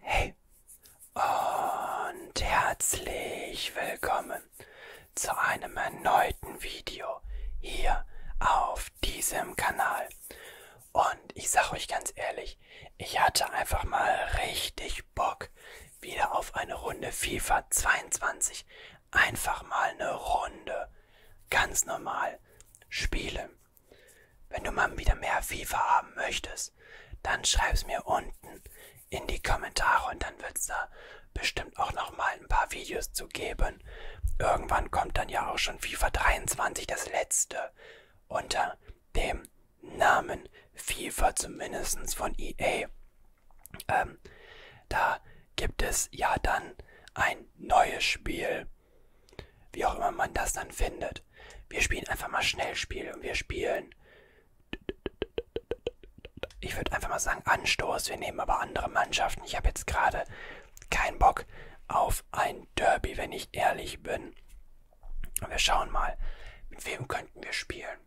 Hey und herzlich willkommen zu einem erneuten Video hier auf diesem Kanal. Und ich sage euch ganz ehrlich, ich hatte einfach mal richtig Bock wieder auf eine Runde FIFA 22. Einfach mal eine Runde ganz normal spielen. Wenn du mal wieder mehr FIFA haben möchtest, dann schreib's mir unten in die Kommentare und dann wird's da bestimmt auch nochmal ein paar Videos zu geben. Irgendwann kommt dann ja auch schon FIFA 23 das letzte unter dem Namen FIFA zumindest von EA. Ähm, da gibt es ja dann ein neues Spiel wie auch immer man das dann findet. Wir spielen einfach mal Schnellspiel und wir spielen. Ich würde einfach mal sagen Anstoß. Wir nehmen aber andere Mannschaften. Ich habe jetzt gerade keinen Bock auf ein Derby, wenn ich ehrlich bin. Und wir schauen mal, mit wem könnten wir spielen.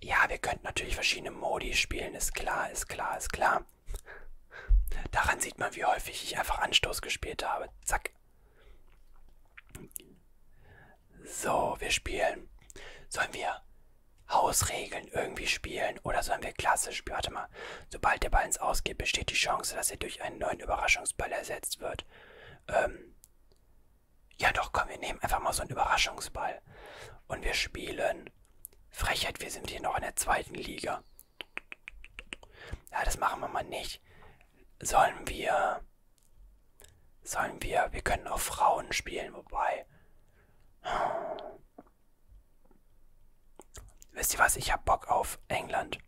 Ja, wir könnten natürlich verschiedene Modi spielen, ist klar, ist klar, ist klar. Daran sieht man, wie häufig ich einfach Anstoß gespielt habe. Zack. So, wir spielen. Sollen wir Hausregeln irgendwie spielen oder sollen wir klassisch spielen? Warte mal. Sobald der Ball ins Ausgeht, besteht die Chance, dass er durch einen neuen Überraschungsball ersetzt wird. Ähm. Ja, doch, komm, wir nehmen einfach mal so einen Überraschungsball. Und wir spielen. Mann. Frechheit, wir sind hier noch in der zweiten Liga. Ja, das machen wir mal nicht. Sollen wir... Sollen wir... Wir können auch Frauen spielen, wobei... Hm. Wisst ihr was? Ich hab Bock auf England.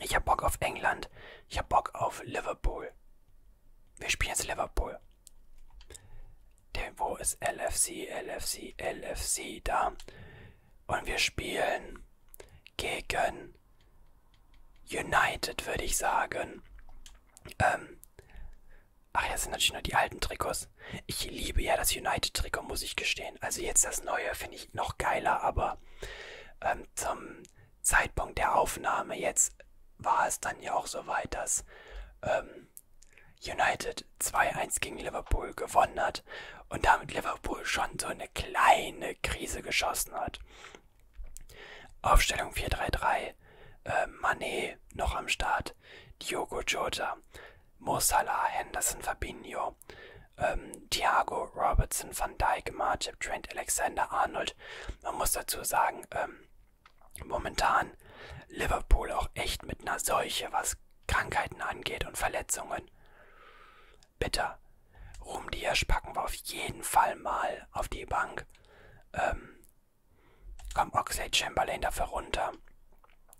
Ich hab Bock auf England. Ich hab Bock auf Liverpool. Wir spielen jetzt Liverpool. Denn wo ist LFC, LFC, LFC da? Und wir spielen gegen United, würde ich sagen. Ähm, ach, jetzt sind natürlich nur die alten Trikots. Ich liebe ja das United-Trikot, muss ich gestehen. Also jetzt das neue finde ich noch geiler, aber ähm, zum Zeitpunkt der Aufnahme jetzt war es dann ja auch so weit, dass ähm, United 2-1 gegen Liverpool gewonnen hat und damit Liverpool schon so eine kleine Krise geschossen hat. Aufstellung 4-3-3, äh, Manet noch am Start, Diogo Jota, Mo Salah, Henderson, Fabinho, ähm, Thiago, Robertson, Van Dijk, Marchip, Trent, Alexander, Arnold. Man muss dazu sagen, ähm, momentan Liverpool auch echt mit einer Seuche, was Krankheiten angeht und Verletzungen. Bitter. Rumdiasch packen wir auf jeden Fall mal auf die Bank. Ähm, komm, Oxley Chamberlain dafür runter.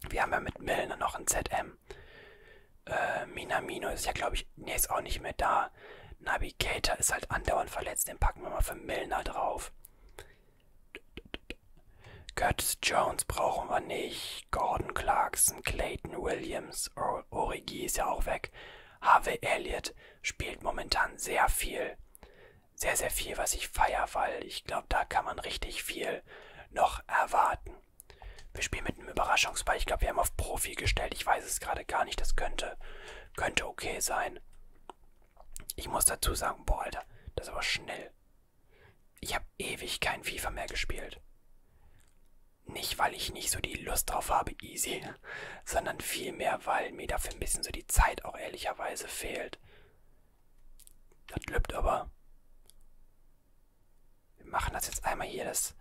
Wir haben ja mit Milner noch ein ZM. Äh, Minamino ist ja, glaube ich, nee, ist auch nicht mehr da. Navigator ist halt andauernd verletzt, den packen wir mal für Milner drauf. Curtis Jones brauchen wir nicht. Gordon Clarkson, Clayton Williams, Origi ist ja auch weg. Harvey Elliott spielt momentan sehr viel. Sehr, sehr viel, was ich feiere, weil ich glaube, da kann man richtig viel noch erwarten. Wir spielen mit einem Überraschungsball. Ich glaube, wir haben auf Profi gestellt. Ich weiß es gerade gar nicht. Das könnte, könnte okay sein. Ich muss dazu sagen, boah, Alter, das ist aber schnell. Ich habe ewig kein FIFA mehr gespielt. Nicht, weil ich nicht so die Lust drauf habe, easy, sondern vielmehr, weil mir dafür ein bisschen so die Zeit auch ehrlicherweise fehlt. Das lübt aber. Wir machen das jetzt einmal hier, das,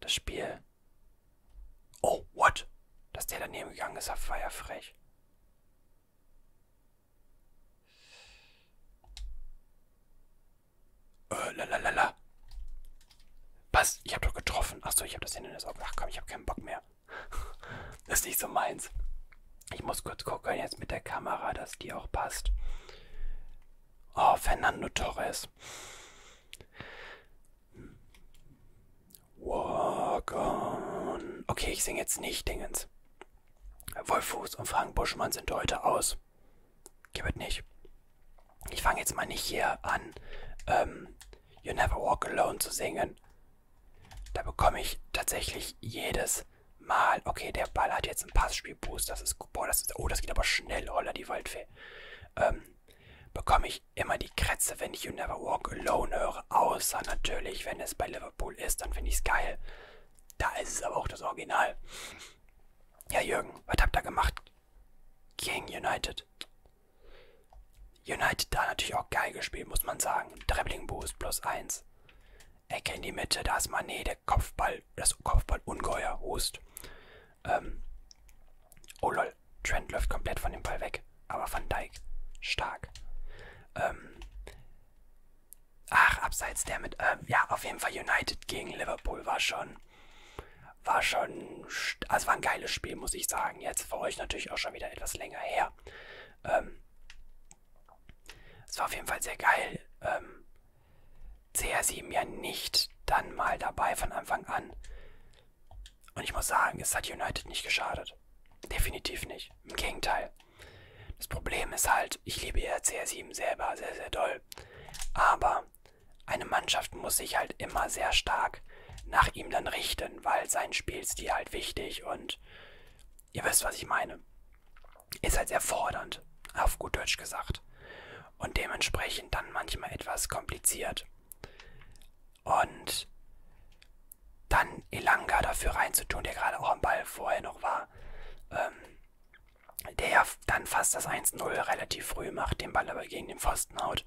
das Spiel Oh, what? Dass der daneben gegangen ist, war ja frech. Äh, lalalala. Was? Ich habe doch getroffen. Achso, ich habe das Hindernis auf. Ach komm, ich habe keinen Bock mehr. das ist nicht so meins. Ich muss kurz gucken jetzt mit der Kamera, dass die auch passt. Oh, Fernando Torres. Walk on. Okay, ich singe jetzt nicht Dingens. Wolfuß und Frank Buschmann sind heute aus. Gibt nicht. Ich fange jetzt mal nicht hier an, ähm, You Never Walk Alone zu singen. Da bekomme ich tatsächlich jedes Mal. Okay, der Ball hat jetzt einen Passspielboost. Das ist, boah, das ist, oh, das geht aber schnell, Holla, die Waldfee. Ähm, bekomme ich immer die Krätze, wenn ich You Never Walk Alone höre. Außer natürlich, wenn es bei Liverpool ist, dann finde ich es geil. Da ist es aber auch das Original. Ja, Jürgen, was habt ihr gemacht? Gegen United. United da natürlich auch geil gespielt, muss man sagen. Dribbling Boost plus 1. Ecke in die Mitte, da ist Mané, der Kopfball, das Kopfball ungeheuer Host. Ähm, oh lol, Ball. Trent läuft komplett von dem Ball weg. Aber Van Dijk, stark. Ähm, ach, abseits der mit, ähm, ja, auf jeden Fall United gegen Liverpool war schon, war schon, also war ein geiles Spiel, muss ich sagen. Jetzt für euch natürlich auch schon wieder etwas länger her. Ähm, es war auf jeden Fall sehr geil. Ähm, CR7 ja nicht dann mal dabei von Anfang an. Und ich muss sagen, es hat United nicht geschadet. Definitiv nicht. Im Gegenteil. Das Problem ist halt, ich liebe ja CR7 selber sehr, sehr doll. Aber eine Mannschaft muss sich halt immer sehr stark nach ihm dann richten, weil sein Spielstil halt wichtig und ihr wisst, was ich meine. Ist halt sehr fordernd, auf gut Deutsch gesagt. Und dementsprechend dann manchmal etwas kompliziert. Und dann Elanga dafür reinzutun, der gerade auch am Ball vorher noch war. Ähm, der ja dann fast das 1-0 relativ früh macht, den Ball aber gegen den Pfosten haut.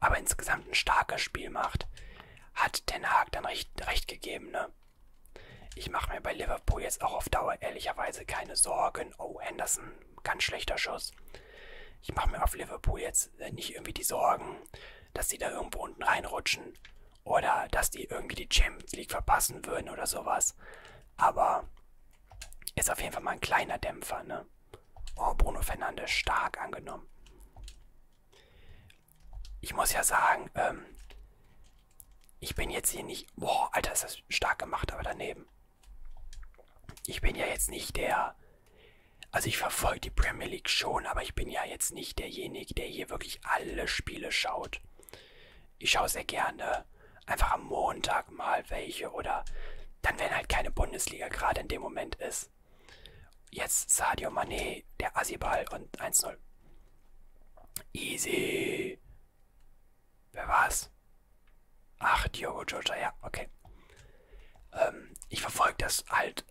Aber insgesamt ein starkes Spiel macht. Hat Ten Hag dann recht, recht gegeben, ne? Ich mache mir bei Liverpool jetzt auch auf Dauer ehrlicherweise keine Sorgen. Oh, Henderson ganz schlechter Schuss. Ich mache mir auf Liverpool jetzt äh, nicht irgendwie die Sorgen, dass sie da irgendwo unten reinrutschen oder dass die irgendwie die Champions League verpassen würden oder sowas. Aber ist auf jeden Fall mal ein kleiner Dämpfer, ne? Oh, Bruno Fernandes stark angenommen. Ich muss ja sagen, ähm, ich bin jetzt hier nicht... Boah, Alter, ist das stark gemacht, aber daneben. Ich bin ja jetzt nicht der. Also ich verfolge die Premier League schon, aber ich bin ja jetzt nicht derjenige, der hier wirklich alle Spiele schaut. Ich schaue sehr gerne einfach am Montag mal welche oder dann, wenn halt keine Bundesliga gerade in dem Moment ist. Jetzt Sadio Mané, der Asibal und 1-0. Easy. Wer war's? Ach, Diogo Jota, ja, okay. Ähm, ich verfolge das halt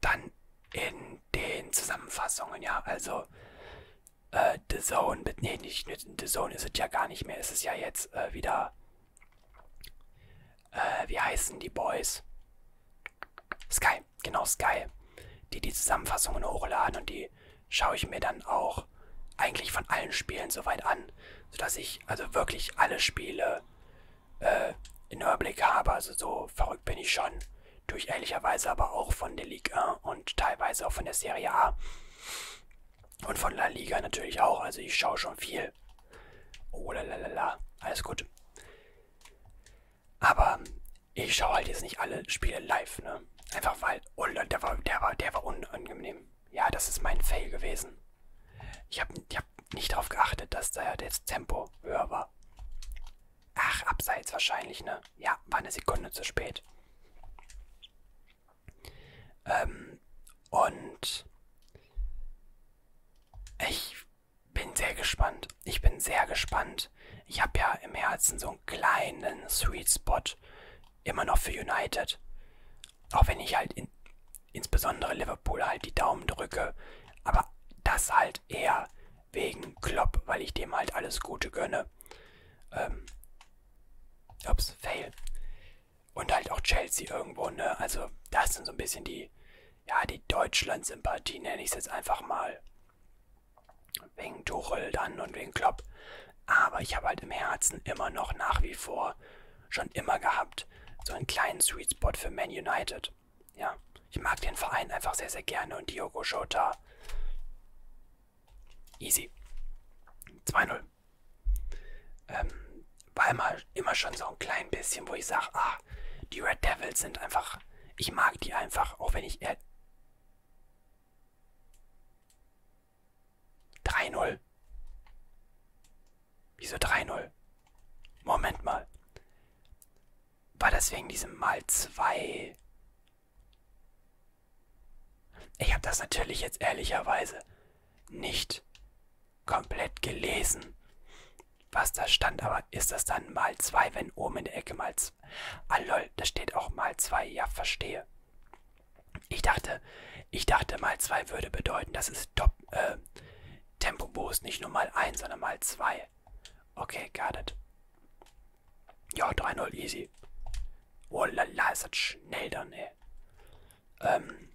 dann in den Zusammenfassungen, ja. Also, äh, The Zone, nee, nicht, nicht The Zone ist es ja gar nicht mehr. Es ist ja jetzt äh, wieder, äh, wie heißen die Boys? Sky, genau Sky. Die die Zusammenfassungen hochladen und die schaue ich mir dann auch auch eigentlich von allen Spielen soweit an, sodass ich also wirklich alle Spiele äh, in Überblick habe. Also so verrückt bin ich schon. Durch ehrlicherweise aber auch von der Liga und teilweise auch von der Serie A. Und von La Liga natürlich auch. Also ich schaue schon viel. Oh la la la la. Alles gut. Aber ich schaue halt jetzt nicht alle Spiele live, ne? Einfach weil. Oh, der war, der war, der war unangenehm. Ja, das ist mein Fail gewesen. Ich habe hab nicht darauf geachtet, dass da das Tempo höher war. Ach, abseits wahrscheinlich, ne? Ja, war eine Sekunde zu spät. Ähm, und ich bin sehr gespannt. Ich bin sehr gespannt. Ich habe ja im Herzen so einen kleinen Sweet Spot immer noch für United. Auch wenn ich halt in, insbesondere Liverpool halt die Daumen drücke. Aber das halt eher wegen Klopp, weil ich dem halt alles Gute gönne. Ähm, ups, fail. Und halt auch Chelsea irgendwo, ne? Also das sind so ein bisschen die, ja, die Deutschland-Sympathie nenne ich es jetzt einfach mal. Wegen Tuchel dann und wegen Klopp. Aber ich habe halt im Herzen immer noch nach wie vor schon immer gehabt, so einen kleinen Sweet Spot für Man United. Ja, ich mag den Verein einfach sehr, sehr gerne und Diogo Jota. Easy. 2-0. Ähm, war immer, immer schon so ein klein bisschen, wo ich sage, ah, die Red Devils sind einfach, ich mag die einfach, auch wenn ich eher 3-0. Wieso 3-0? Moment mal. War das wegen diesem Mal 2? Ich habe das natürlich jetzt ehrlicherweise nicht komplett gelesen, was da stand. Aber ist das dann mal 2, wenn oben in der Ecke mal 2? Ah lol, da steht auch mal 2. Ja, verstehe. Ich dachte, ich dachte mal 2 würde bedeuten, das ist Top, äh, Tempo Boost, nicht nur mal 1, sondern mal 2. Okay, got it. Ja, 3-0, easy. Oh lala, ist das schnell dann, ne? ey. Ähm,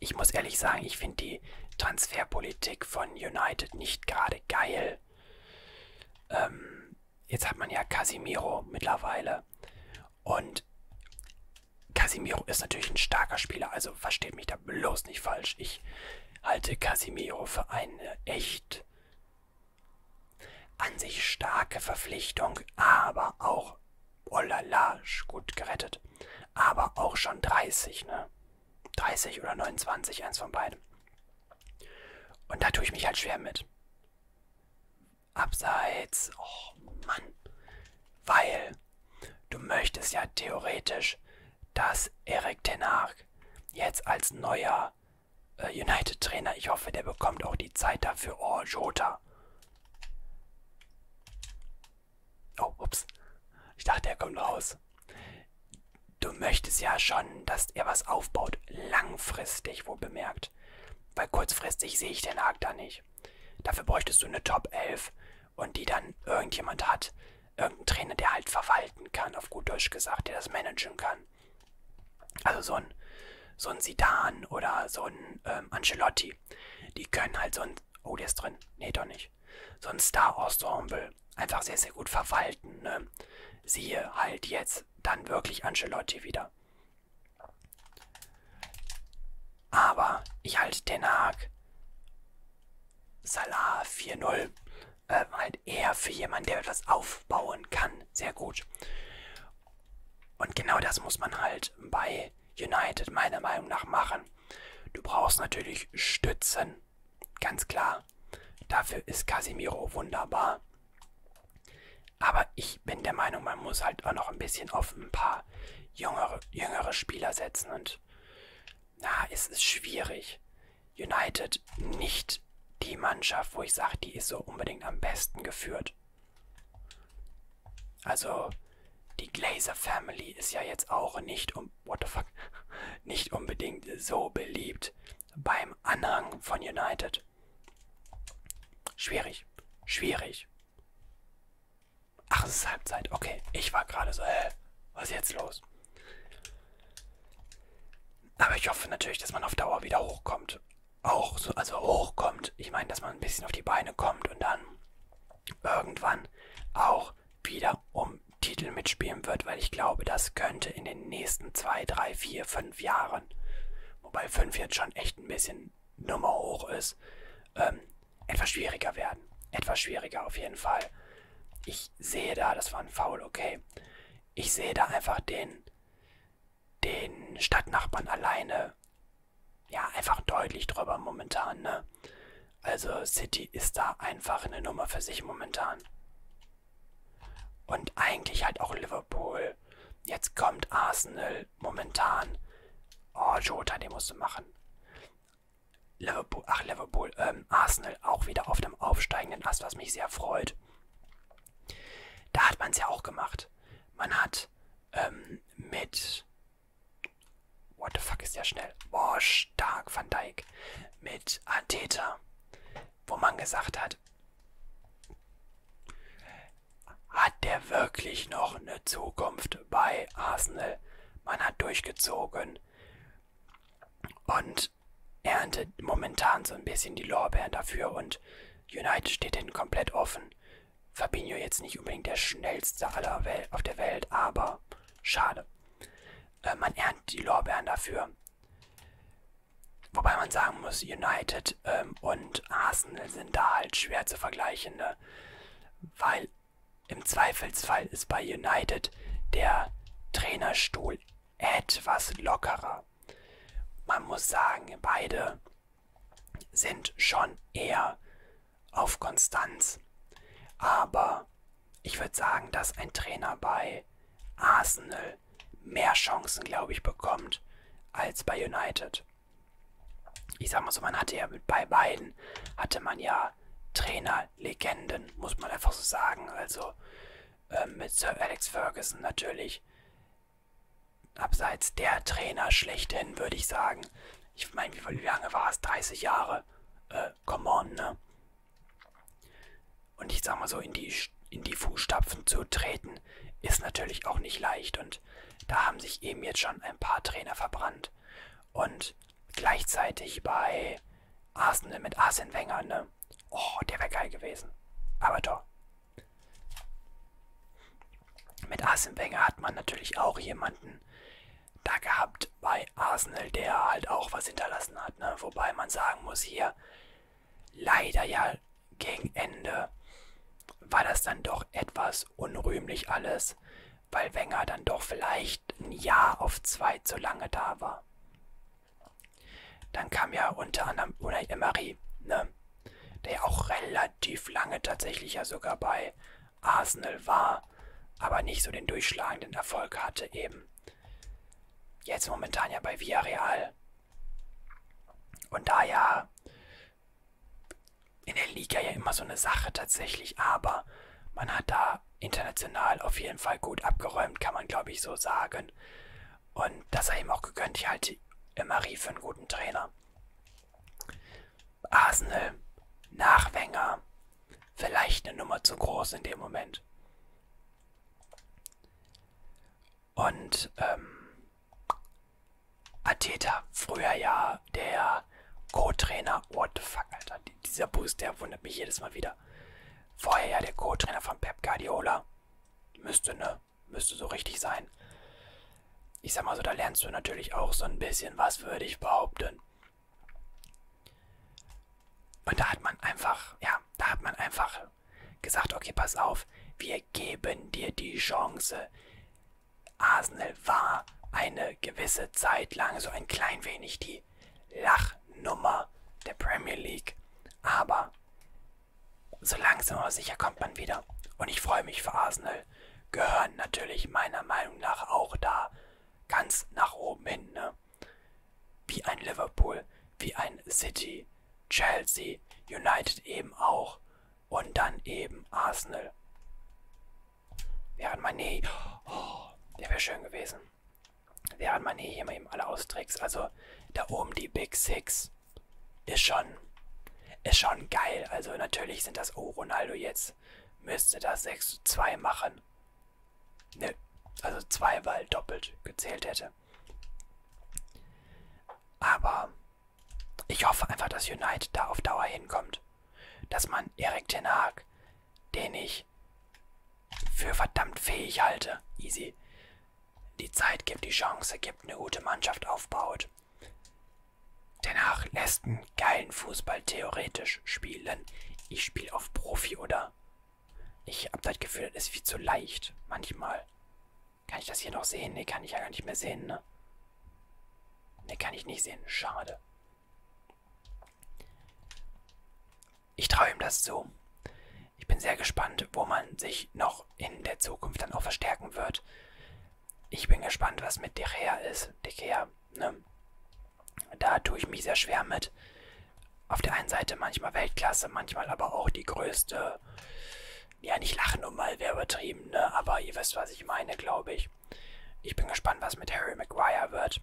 ich muss ehrlich sagen, ich finde die Transferpolitik von United nicht gerade geil. Ähm, jetzt hat man ja Casimiro mittlerweile. Und Casimiro ist natürlich ein starker Spieler, also versteht mich da bloß nicht falsch. Ich halte Casimiro für eine echt an sich starke Verpflichtung, aber auch, oh la la, gut gerettet, aber auch schon 30, ne? 30 oder 29, eins von beiden. Und da tue ich mich halt schwer mit abseits. Oh Mann. Weil du möchtest ja theoretisch, dass Erik Tenag jetzt als neuer äh, United-Trainer, ich hoffe, der bekommt auch die Zeit dafür. Oh, Jota. Oh, ups. Ich dachte, er kommt raus. Du möchtest ja schon, dass er was aufbaut, langfristig, wo bemerkt weil kurzfristig sehe ich den Haken da nicht. Dafür bräuchtest du eine Top 11 und die dann irgendjemand hat, irgendein Trainer, der halt verwalten kann, auf gut Deutsch gesagt, der das managen kann. Also so ein, so ein Sidan oder so ein ähm, Ancelotti, die können halt so ein, oh, der ist drin, nee, doch nicht, so ein Star-Ensemble einfach sehr, sehr gut verwalten. Ne? Siehe halt jetzt dann wirklich Ancelotti wieder. Aber ich halte den Haag Salah 4-0 äh, halt eher für jemanden, der etwas aufbauen kann. Sehr gut. Und genau das muss man halt bei United meiner Meinung nach machen. Du brauchst natürlich Stützen, ganz klar. Dafür ist Casemiro wunderbar. Aber ich bin der Meinung, man muss halt auch noch ein bisschen auf ein paar jüngere, jüngere Spieler setzen. Und na, es ist schwierig. United nicht die Mannschaft, wo ich sage, die ist so unbedingt am besten geführt. Also, die Glazer Family ist ja jetzt auch nicht um. What the fuck? Nicht unbedingt so beliebt beim im Anhang von United. Schwierig, schwierig. Ach, es ist Halbzeit. Okay, ich war gerade so, äh, was ist jetzt los? Aber ich hoffe natürlich, dass man auf Dauer wieder hochkommt. Auch so, also hochkommt. Ich meine, dass man ein bisschen auf die Beine kommt und dann irgendwann auch wieder um Titel mitspielen wird, weil ich glaube, das könnte in den nächsten zwei, drei, vier, fünf Jahren Jahren. Wobei 5 jetzt schon echt ein bisschen Nummer hoch ist. Ähm, etwas schwieriger werden. Etwas schwieriger auf jeden Fall. Ich sehe da, das war ein Foul, okay. Ich sehe da einfach den, den Stadtnachbarn alleine. Ja, einfach deutlich drüber momentan, ne? Also City ist da einfach eine Nummer für sich momentan. Und eigentlich halt auch Liverpool. Jetzt kommt Arsenal momentan. Oh, Jota, den musst du machen. Liverpool, ach, Liverpool, ähm, Arsenal auch wieder auf dem aufsteigenden Ast, was mich sehr freut. Da hat man es ja auch gemacht. Man hat ähm, mit. What the fuck ist der schnell? Boah, stark, Van Dijk. Mit Ateta, wo man gesagt hat, hat. Hat der wirklich noch eine Zukunft bei Arsenal? Man hat durchgezogen und erntet momentan so ein bisschen die Lorbeeren dafür und United steht hinten komplett offen. Fabinho jetzt nicht unbedingt der schnellste aller Wel auf der Welt, aber schade. Äh, man erntet die Lorbeeren dafür. Wobei man sagen muss, United ähm, und Arsenal sind da halt schwer zu vergleichen, ne? weil im Zweifelsfall ist bei United der Trainerstuhl etwas lockerer. Man muss sagen, beide sind schon eher auf Konstanz. Aber ich würde sagen, dass ein Trainer bei Arsenal Ball mehr Chancen, glaube ich, bekommt als bei United. Ich sag mal so, man hatte ja mit, bei beiden, hatte man ja Trainerlegenden, muss man einfach so sagen. Also äh, mit Sir Alex Ferguson natürlich abseits der Trainer schlechthin, würde ich sagen. Ich meine, wie, wie lange war es? 30 Jahre? Äh, come on, ne? und ich sag mal so in die, in die Fußstapfen zu treten, ist natürlich auch nicht leicht. Und da haben sich eben jetzt schon ein paar Trainer verbrannt. Und gleichzeitig bei Arsenal mit Arsene Wenger, ne? Oh, der wäre geil gewesen. Aber doch. Mit Arsene Wenger hat man natürlich auch jemanden da gehabt bei Arsenal, der halt auch was hinterlassen hat. Ne? Wobei man sagen muss, hier Leider ja gegen Ende war das dann doch etwas unrühmlich alles, weil Wenger dann doch vielleicht ein Jahr auf zwei zu lange da war. Dann kam ja unter anderem Unai Emery, ne? der ja auch relativ lange tatsächlich ja sogar bei Arsenal war, aber nicht so den durchschlagenden Erfolg hatte eben jetzt momentan ja bei Villarreal. Und da ja in der Liga ja immer so eine Sache tatsächlich, aber man hat da international auf jeden Fall gut abgeräumt, kann man glaube ich so sagen. Und das sei ihm auch gegönnt, ich halte Marie für einen guten Trainer. Arsenal, Nachwänger, vielleicht eine Nummer zu groß in dem Moment. Und ähm, Ateta, früher ja der Co-Trainer. What the fuck, Alter. Dieser Boost, der wundert mich jedes Mal wieder. Vorher ja der Co-Trainer von Pep Guardiola. Müsste, ne? Müsste so richtig sein. Ich sag mal so, da lernst du natürlich auch so ein bisschen was, würde ich behaupten. Und da hat man einfach, ja, da hat man einfach gesagt, okay, pass auf, wir geben dir die Chance. Arsenal war eine gewisse Zeit lang so ein klein wenig die Lachnummer der Premier League. Aber so langsam aber sicher kommt man wieder. Und ich freue mich für Arsenal. Gehören natürlich meiner Meinung nach auch da ganz nach oben hin. Ne? Wie ein Liverpool, wie ein City, Chelsea, United eben auch und dann eben Arsenal. Während Mané, oh, der wäre schön gewesen. Während Mané hier mal eben alle austrickst. Also da oben die Big Six ist schon, ist schon geil. Also natürlich sind das, oh Ronaldo jetzt, müsste das 6 zu 2 machen. Ne, also zwei, weil doppelt gezählt hätte. Aber ich hoffe einfach, dass United da auf Dauer hinkommt. Dass man Erik Ten Hag, den ich für verdammt fähig halte, easy, die Zeit gibt, die Chance gibt, eine gute Mannschaft aufbaut. Danach lässt einen geilen Fußball theoretisch spielen. Ich spiele auf Profi oder ich habe das Gefühl, das ist viel zu leicht. Manchmal. Kann ich das hier noch sehen? Ne, kann ich ja gar nicht mehr sehen, ne? Ne, kann ich nicht sehen. Schade. Ich traue ihm das zu. Ich bin sehr gespannt, wo man sich noch in der Zukunft dann auch verstärken wird. Ich bin gespannt, was mit Dechea ist. Dechea, ne? Da tue ich mich sehr schwer mit. Auf der einen Seite manchmal Weltklasse, manchmal aber auch die größte. Ja, nicht lachen um mal, wäre übertrieben, ne? Aber ihr wisst, was ich meine, glaube ich. Ich bin gespannt, was mit Harry Maguire wird.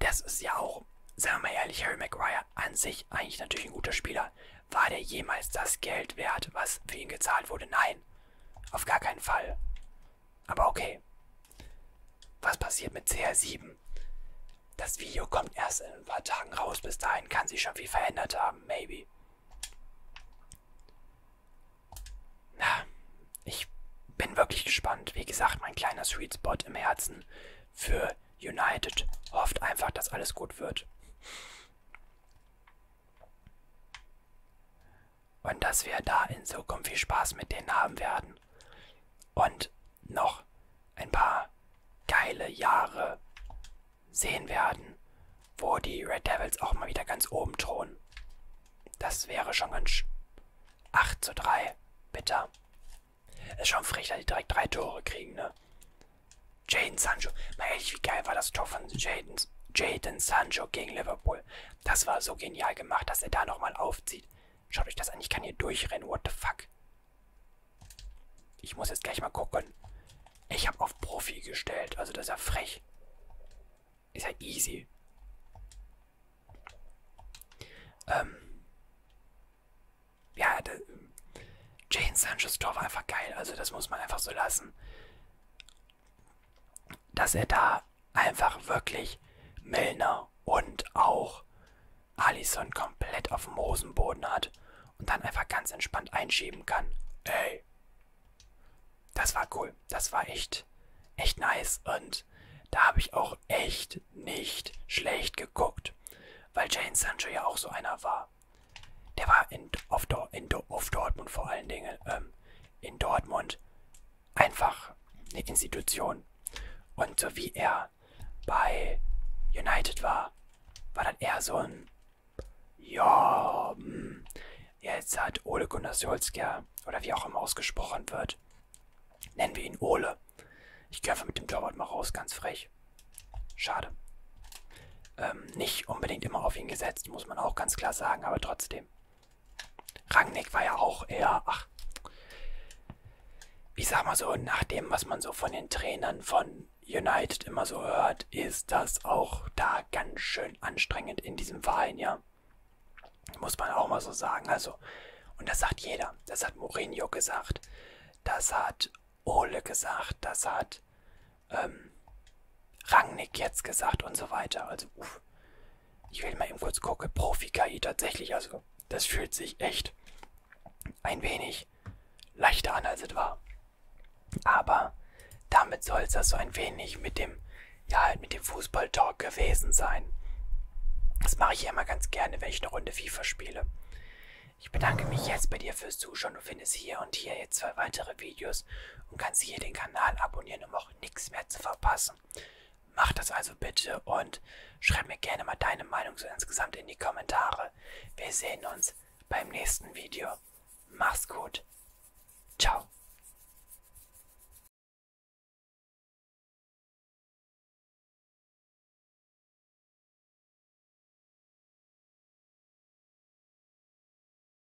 Das ist ja auch, sagen wir mal ehrlich, Harry Maguire an sich eigentlich natürlich ein guter Spieler. War der jemals das Geld wert, was für ihn gezahlt wurde? Nein, auf gar keinen Fall. Aber okay. Was passiert mit CR7? Das Video kommt erst in ein paar Tagen raus. Bis dahin kann sich schon viel verändert haben. Maybe. Na, ich bin wirklich gespannt. Wie gesagt, mein kleiner Sweet Spot im Herzen für United hofft einfach, dass alles gut wird und dass wir da in Zukunft viel Spaß mit denen haben werden. Und noch ein paar geile Jahre sehen werden, wo die Red Devils auch mal wieder ganz oben thronen. Das wäre schon ganz 8 zu 3, bitter. Ist schon frech, dass die direkt drei Tore kriegen, ne? Jaden Sancho. Mal ehrlich, wie geil war das Tor von Jaden, Jaden Sancho gegen Liverpool. Das war so genial gemacht, dass er da nochmal aufzieht. Schaut euch das an, ich kann hier durchrennen, what the fuck. Ich muss jetzt gleich mal gucken. Ich habe auf Profi gestellt, also das ist ja frech. Ist ja easy. Ähm. Ja, ähm, Jane Sanchez Tor war einfach geil, also das muss man einfach so lassen dass er da einfach wirklich Milner und auch Allison komplett auf dem Hosenboden hat und dann einfach ganz entspannt einschieben kann. Ey, das war cool. Das war echt, echt nice. Und da habe ich auch echt nicht schlecht geguckt, weil Jane Sancho ja auch so einer war. Der war in, auf, in, auf Dortmund vor allen Dingen, ähm, in Dortmund einfach eine Institution. Und so wie er bei United war, war dann eher so ein, ja, hm, jetzt hat Ole Gunnar Solskjaer, oder wie auch immer ausgesprochen wird, nennen wir ihn Ole. Ich gehe einfach mit dem Torwart mal raus, ganz frech. Schade. Ähm, nicht unbedingt immer auf ihn gesetzt, muss man auch ganz klar sagen, aber trotzdem. Rangnick war ja auch eher, ach, ich sag mal so, nach dem, was man so von den Trainern von United immer so hört, ist das auch da ganz schön anstrengend in diesem Verein, ja. Muss man auch mal so sagen. Also, und das sagt jeder. Das hat Mourinho gesagt. Das hat Ole gesagt. Das hat ähm, Rangnick jetzt gesagt und so weiter. Also, uff. Ich will mal eben kurz gucken. Profi-KI tatsächlich. Also, das fühlt sich echt ein wenig leichter an, als es war. Aber damit soll es das so ein wenig mit dem, ja, halt mit dem Fußball-Talk gewesen sein. Das mache ich ja immer ganz gerne, wenn ich eine Runde FIFA spiele. Ich bedanke mich jetzt bei dir fürs Zuschauen. Du findest hier und hier jetzt zwei weitere Videos und kannst hier den Kanal abonnieren, um auch auch nichts mehr zu verpassen. Mach das also bitte und schreib mir gerne mal deine Meinung so insgesamt in die Kommentare. Wir sehen uns beim nächsten Video. Mach's gut. Ciao.